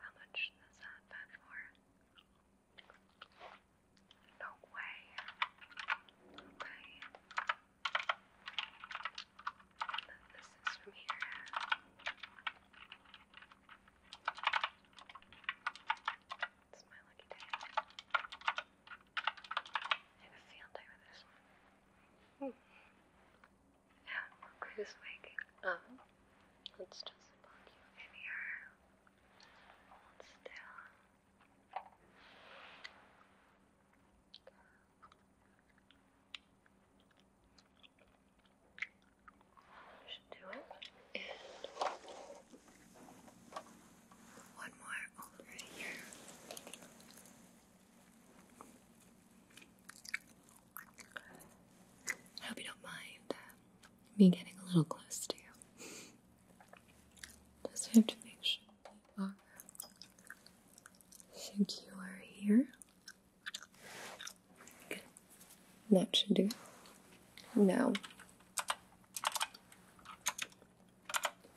How much does that bed for? No way. Okay. this is from here. It's my lucky day. I have a field day with this one. waking up? Let's just plug you in here. Hold still. should do it. One more over here. I hope you don't mind uh, me getting a little close to you. Just have to make sure you are secure here. That should do. Now,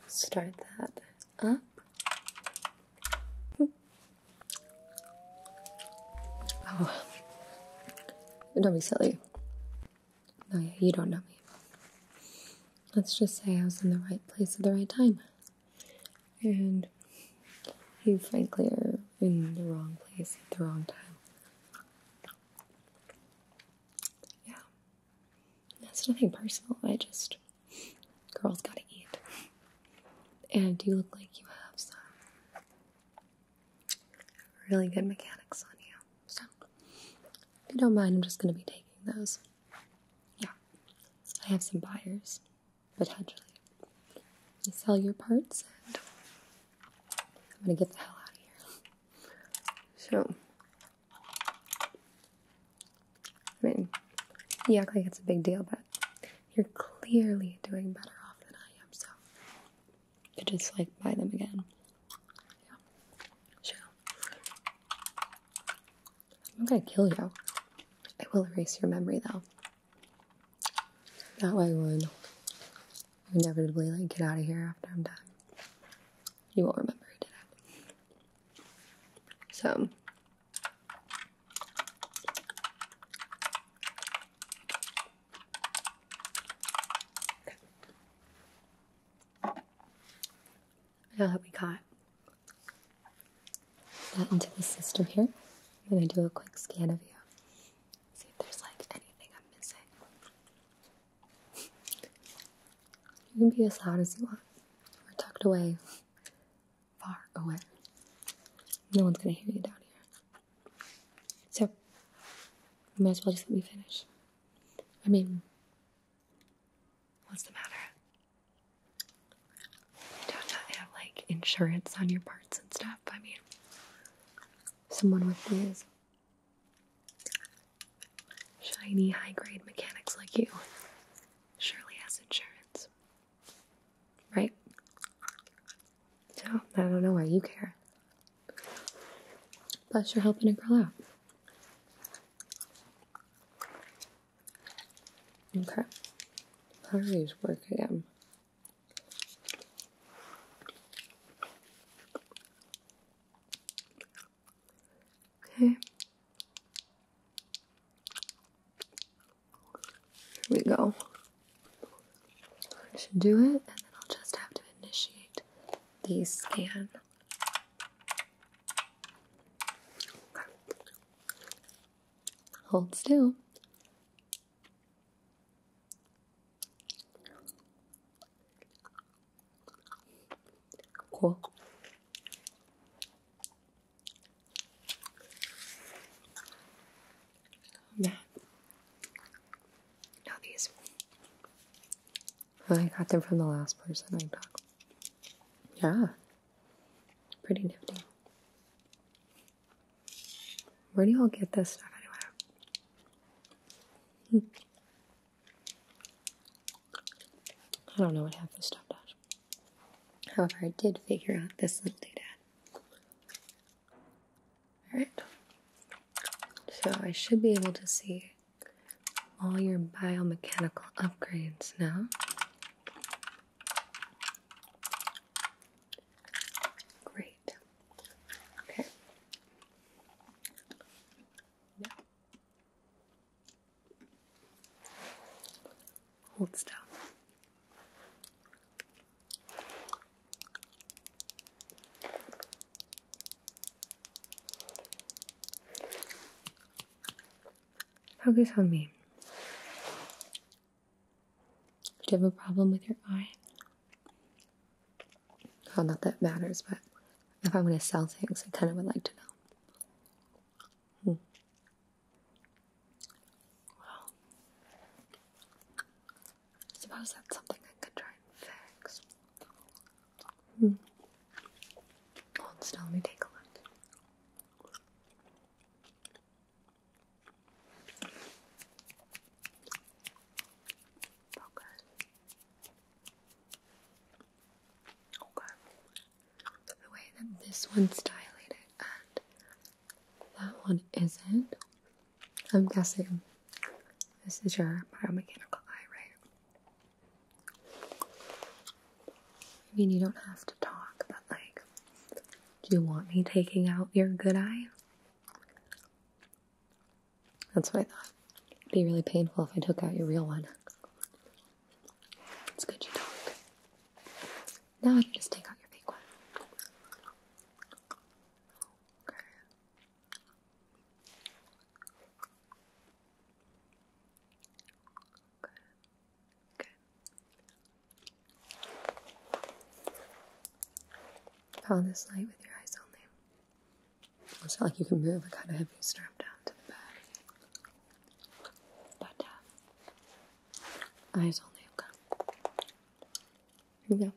start that up. Oh, don't be silly. No, yeah, you don't know me. Let's just say I was in the right place at the right time. And you, frankly, are in the wrong place at the wrong time. Yeah. That's nothing personal. I just girls gotta eat. And you look like you have some really good mechanics on you. So if you don't mind, I'm just gonna be taking those. Yeah. I have some buyers, potentially. You sell your parts and I'm gonna get the hell out of here. So I mean, you act like it's a big deal, but you're clearly doing better off than I am, so could just like buy them again. Yeah. Sure. I'm gonna kill you. I will erase your memory though. That way would inevitably like get out of here after I'm done. You won't remember who did it. So now that we got that into the system here, I'm gonna do a quick scan of you. See if there's like anything I'm missing. You can be as loud as you want, We're tucked away, far away. No one's gonna hear you down here. So, you might as well just let me finish. I mean, what's the matter? You don't not have like insurance on your parts and stuff. I mean, someone with these Shiny, high grade mechanics like you surely has insurance. Right? So, I don't know why you care. Plus, you're helping a girl out. Okay. Party's work again. Okay. Here we go. I should do it, and then I'll just have to initiate the scan. Okay. Hold still. Cool. Yeah. Now these. I got them from the last person I talked. Yeah. Pretty nifty. Where do y'all get this stuff anyway? Hmm. I don't know what happened to stuff does. However, I did figure out this little data. Alright. So I should be able to see all your biomechanical upgrades now. Great. Okay. Now, Hold still. Focus on me. Do you have a problem with your eye? Well, not that matters, but if I'm going to sell things, I kind of would like to know. Hmm. suppose that's something I could try and fix. Hmm. Hold still, me take a look. Okay. Okay. The way that this one's dilated and that one isn't. I'm guessing this is your biomechanical eye, right? I mean, you don't have to talk, but like, do you want me taking out your good eye? That's what I thought. It'd be really painful if I took out your real one. It's good you talk. Now I can just take out your fake one. Okay. Okay. Good. this light with your eyes only. It's not like you can move. I kind of have you strapped down to the bed. Uh, eyes only. Okay. Here we go.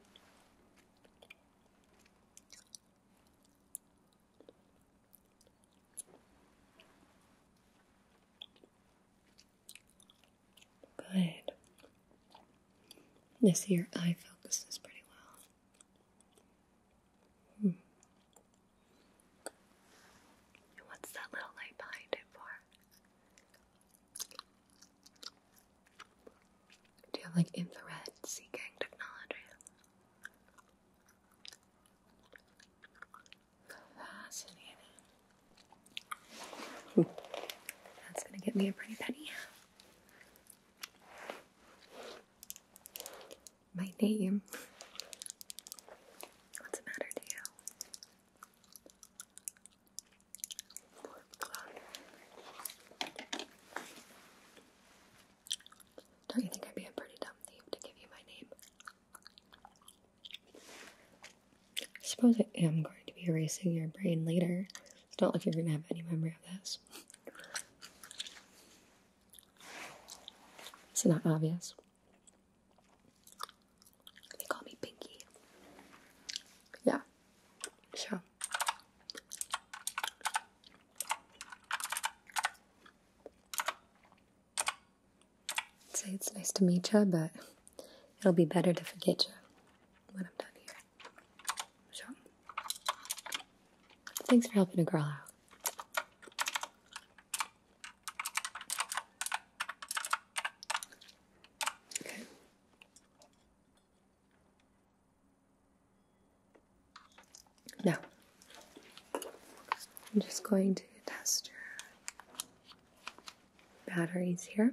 Good. This here, eye focus is pretty well. Hmm what's that little light behind it for? Do you have like infrared seeking technology? Fascinating. That's gonna get me a pretty penny my name. What's the matter to Don't you think I'd be a pretty dumb thief to give you my name? suppose I am going to be erasing your brain later. It's not like you're going to have any memory of this. It's not obvious. They call me Pinky. Yeah, sure. say it's nice to meet you, but it'll be better to forget you when I'm done here. Sure. Thanks for helping a girl out. Okay. Now, I'm just going to test your batteries here.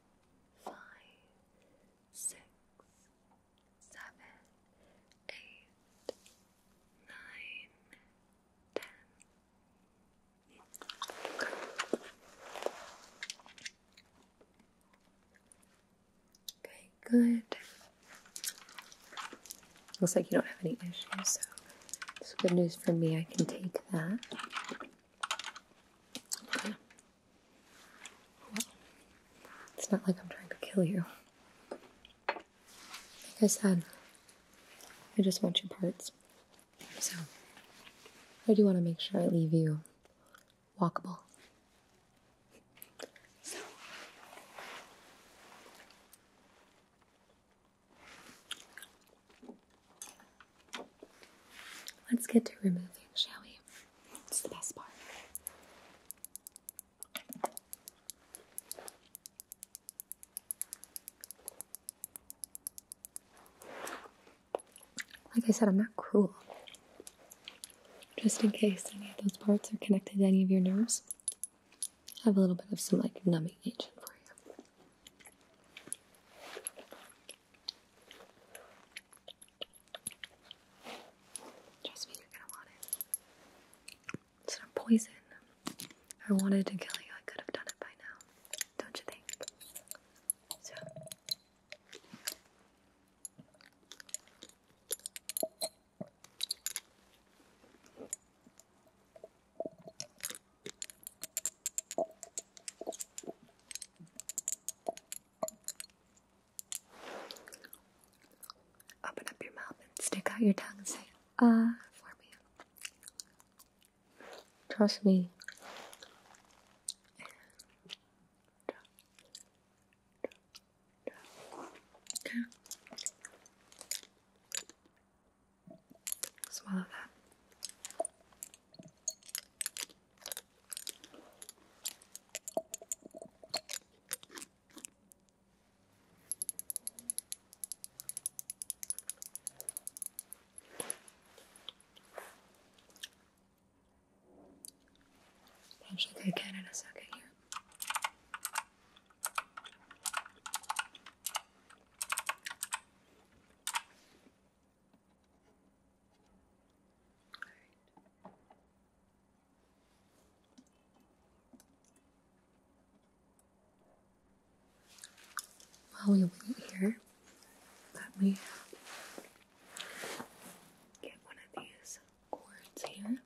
five, six, seven, eight, nine, ten. Okay. good. Looks like you don't have any issues, so it's good news for me. I can take that it's not like I'm trying to kill you. Like I said, I just want your parts. So, I do want to make sure I leave you walkable. Let's get to removing, shall we? It's the best part. Like I said, I'm not cruel. Just in case any of those parts are connected to any of your nerves, I have a little bit of some like numbing agent for you. Trust me, you're gonna want it. It's not poison. I wanted to kill you, I could have done it by now. Don't you think? Open up your mouth and stick out your tongue and say, ah, for me. Trust me. Swallow that. I'll shake again in a second here. While we wait here, let me get one of these cords here.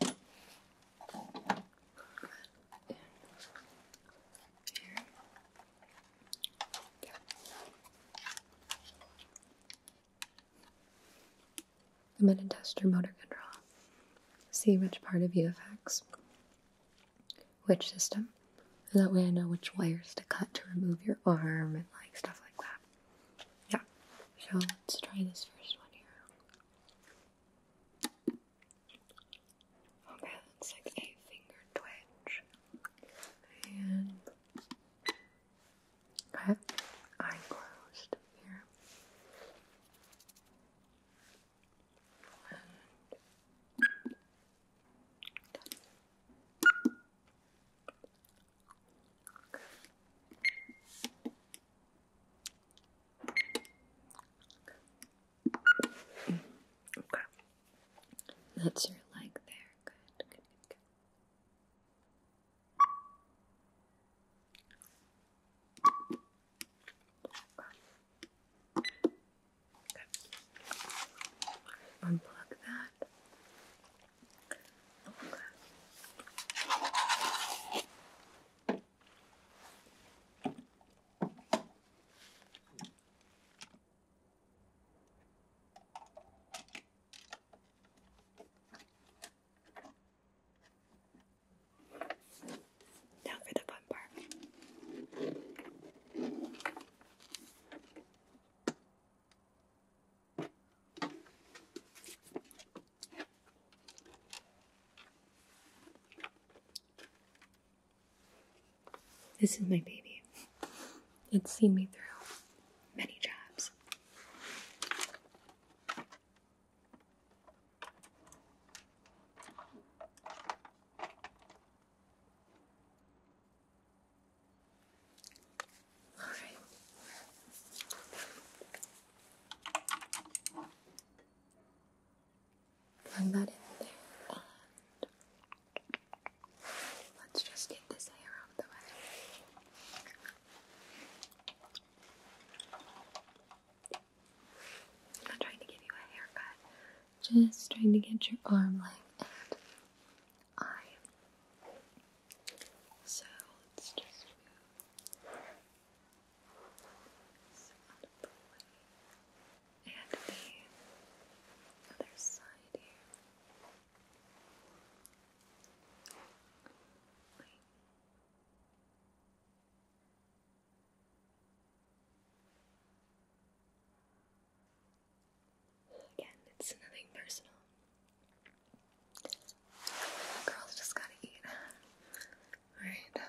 Here. I'm going to test your motor control. See which part of you affects which system that way I know which wires to cut to remove your arm and like stuff like that. Yeah. So let's try this first one here. Okay, that's like a finger twitch. And okay. Eye closed here. That's your leg there. Good. Unplug that. Okay. Now for the fun part. This is my baby. It's seen me through many jobs. All right. that in there and let's just get this hair out of the way. I'm not trying to give you a haircut, just trying to get your arm length and eye. So let's just move And the other side here. Again, it's nothing personal. girls just gotta eat. Alright. Um.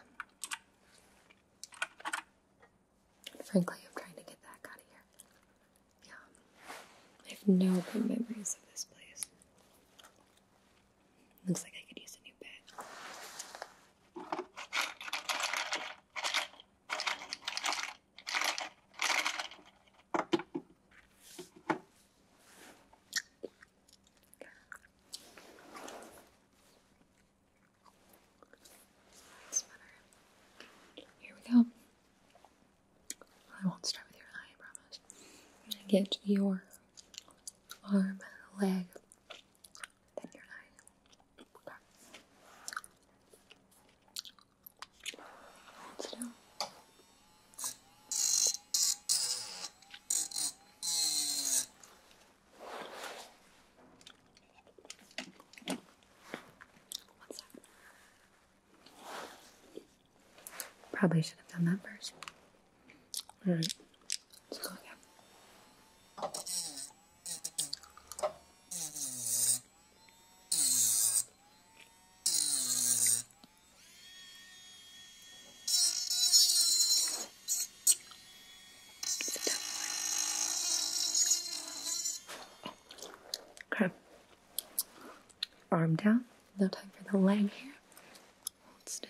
frankly, I'm trying to get the out of here. Yeah. I have no good memories of this place. Looks like I could use a new bed. Here we go. I won't start with your eye, I get your arm, leg, then your eye. Probably should have done that first. All right. Let's go again. Okay. Arm down. No time for the leg here. Hold still.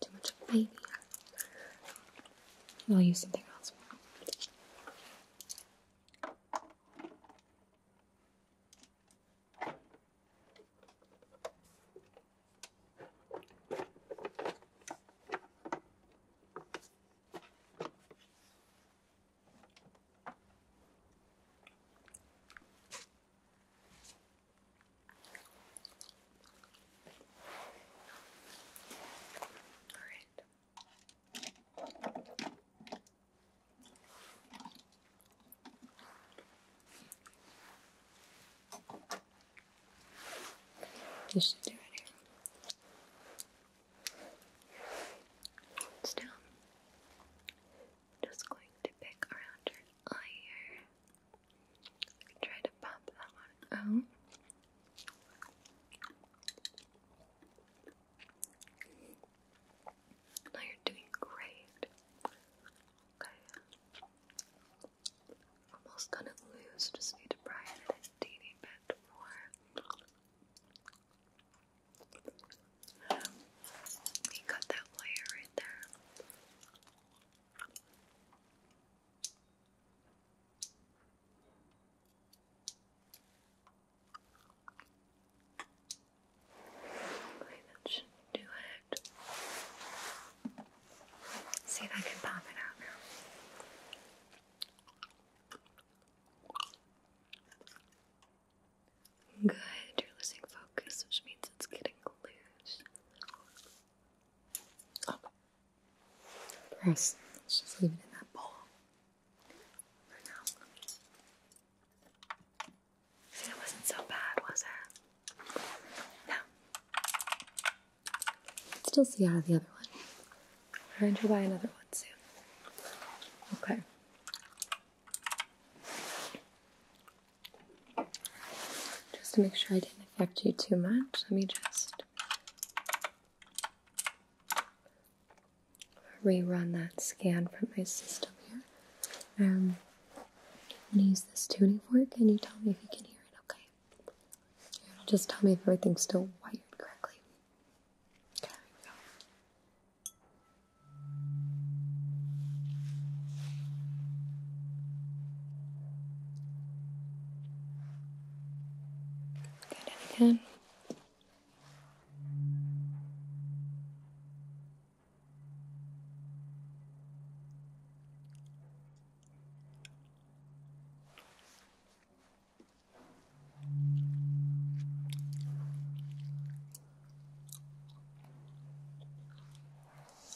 Too much of a baby. I'll use something else. All right. This do it here. Still, i just going to pick around your eye Try to pop that one out. Now you're doing great. Okay. Almost done it loose, just need to pry it a teeny bit more. we got that layer right there. Okay, that should do it. see if I can pop it out now. Good, you're losing focus, which means it's getting loose. Press. Let's just leave it in that bowl for now. It wasn't so bad, was it? No. Still see out of the other one. I'm going to buy another one soon. Okay. Just to make sure I didn't affect you too much, let me just rerun that scan from my system here. Um, I'm going to use this tuning fork, Can you tell me if you can hear it okay. It'll just tell me if everything's still wired correctly. Okay, there we go. Good, and again.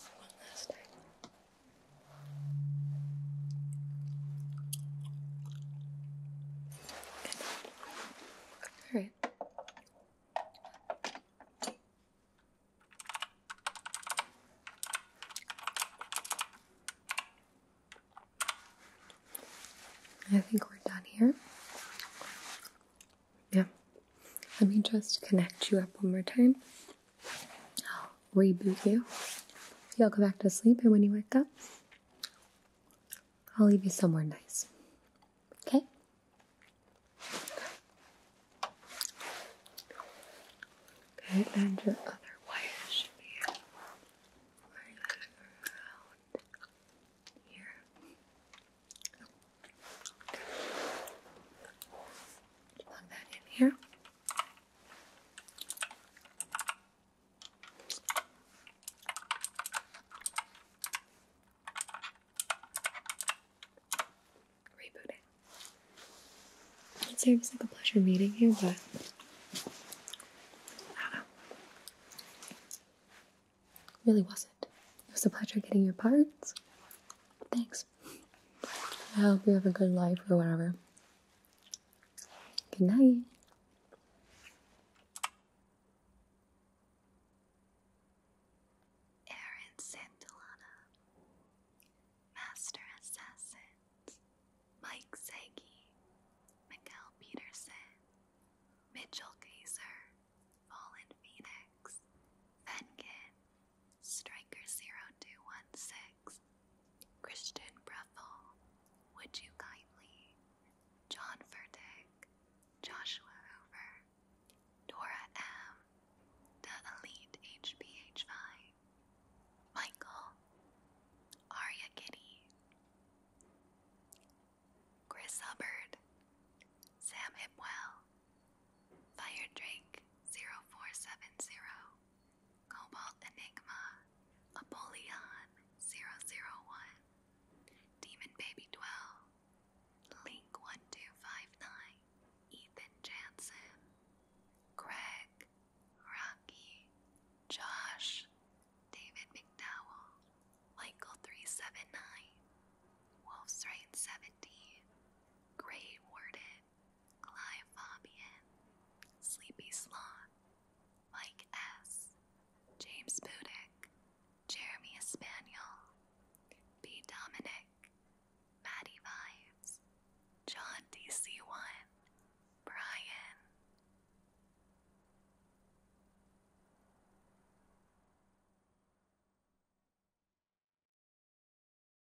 One last time. All right. I think we're done here. Yeah. Let me just connect you up one more time I'll reboot you. You'll go back to sleep, and when you wake up, I'll leave you somewhere nice. Okay? Okay, Plug that in here. Rebooting. It seems like a pleasure meeting you, but really wasn't. It was a pleasure getting your parts. Thanks I hope you have a good life or whatever. Good night. Aaron Santolana, Master Assassins, Mike Sagi, Miguel Peterson, Mitchell Gazer, Fallen Phoenix, Venkin, Striker0216, Christian Breffel, Would You Kindly, John Furtick, Joshua Hoover, Dora M, The Elite HPH5, Michael, Aria Kitty, Chris Hubbard, Sam Hipwell, Fire Drink 0470, Cobalt Enigma, Apollyon 001, Demon Baby Dwell, Link 1259, Ethan Jansen, Greg, Rocky, Josh, David McDowell, Michael 379, Wolf's Right 17, Gray Warden, Clive Sleepy Sloth, Mike S., James Budick, Jeremy Espaniel, B. Dominic, Maddie Vibes, John DC1, Brian.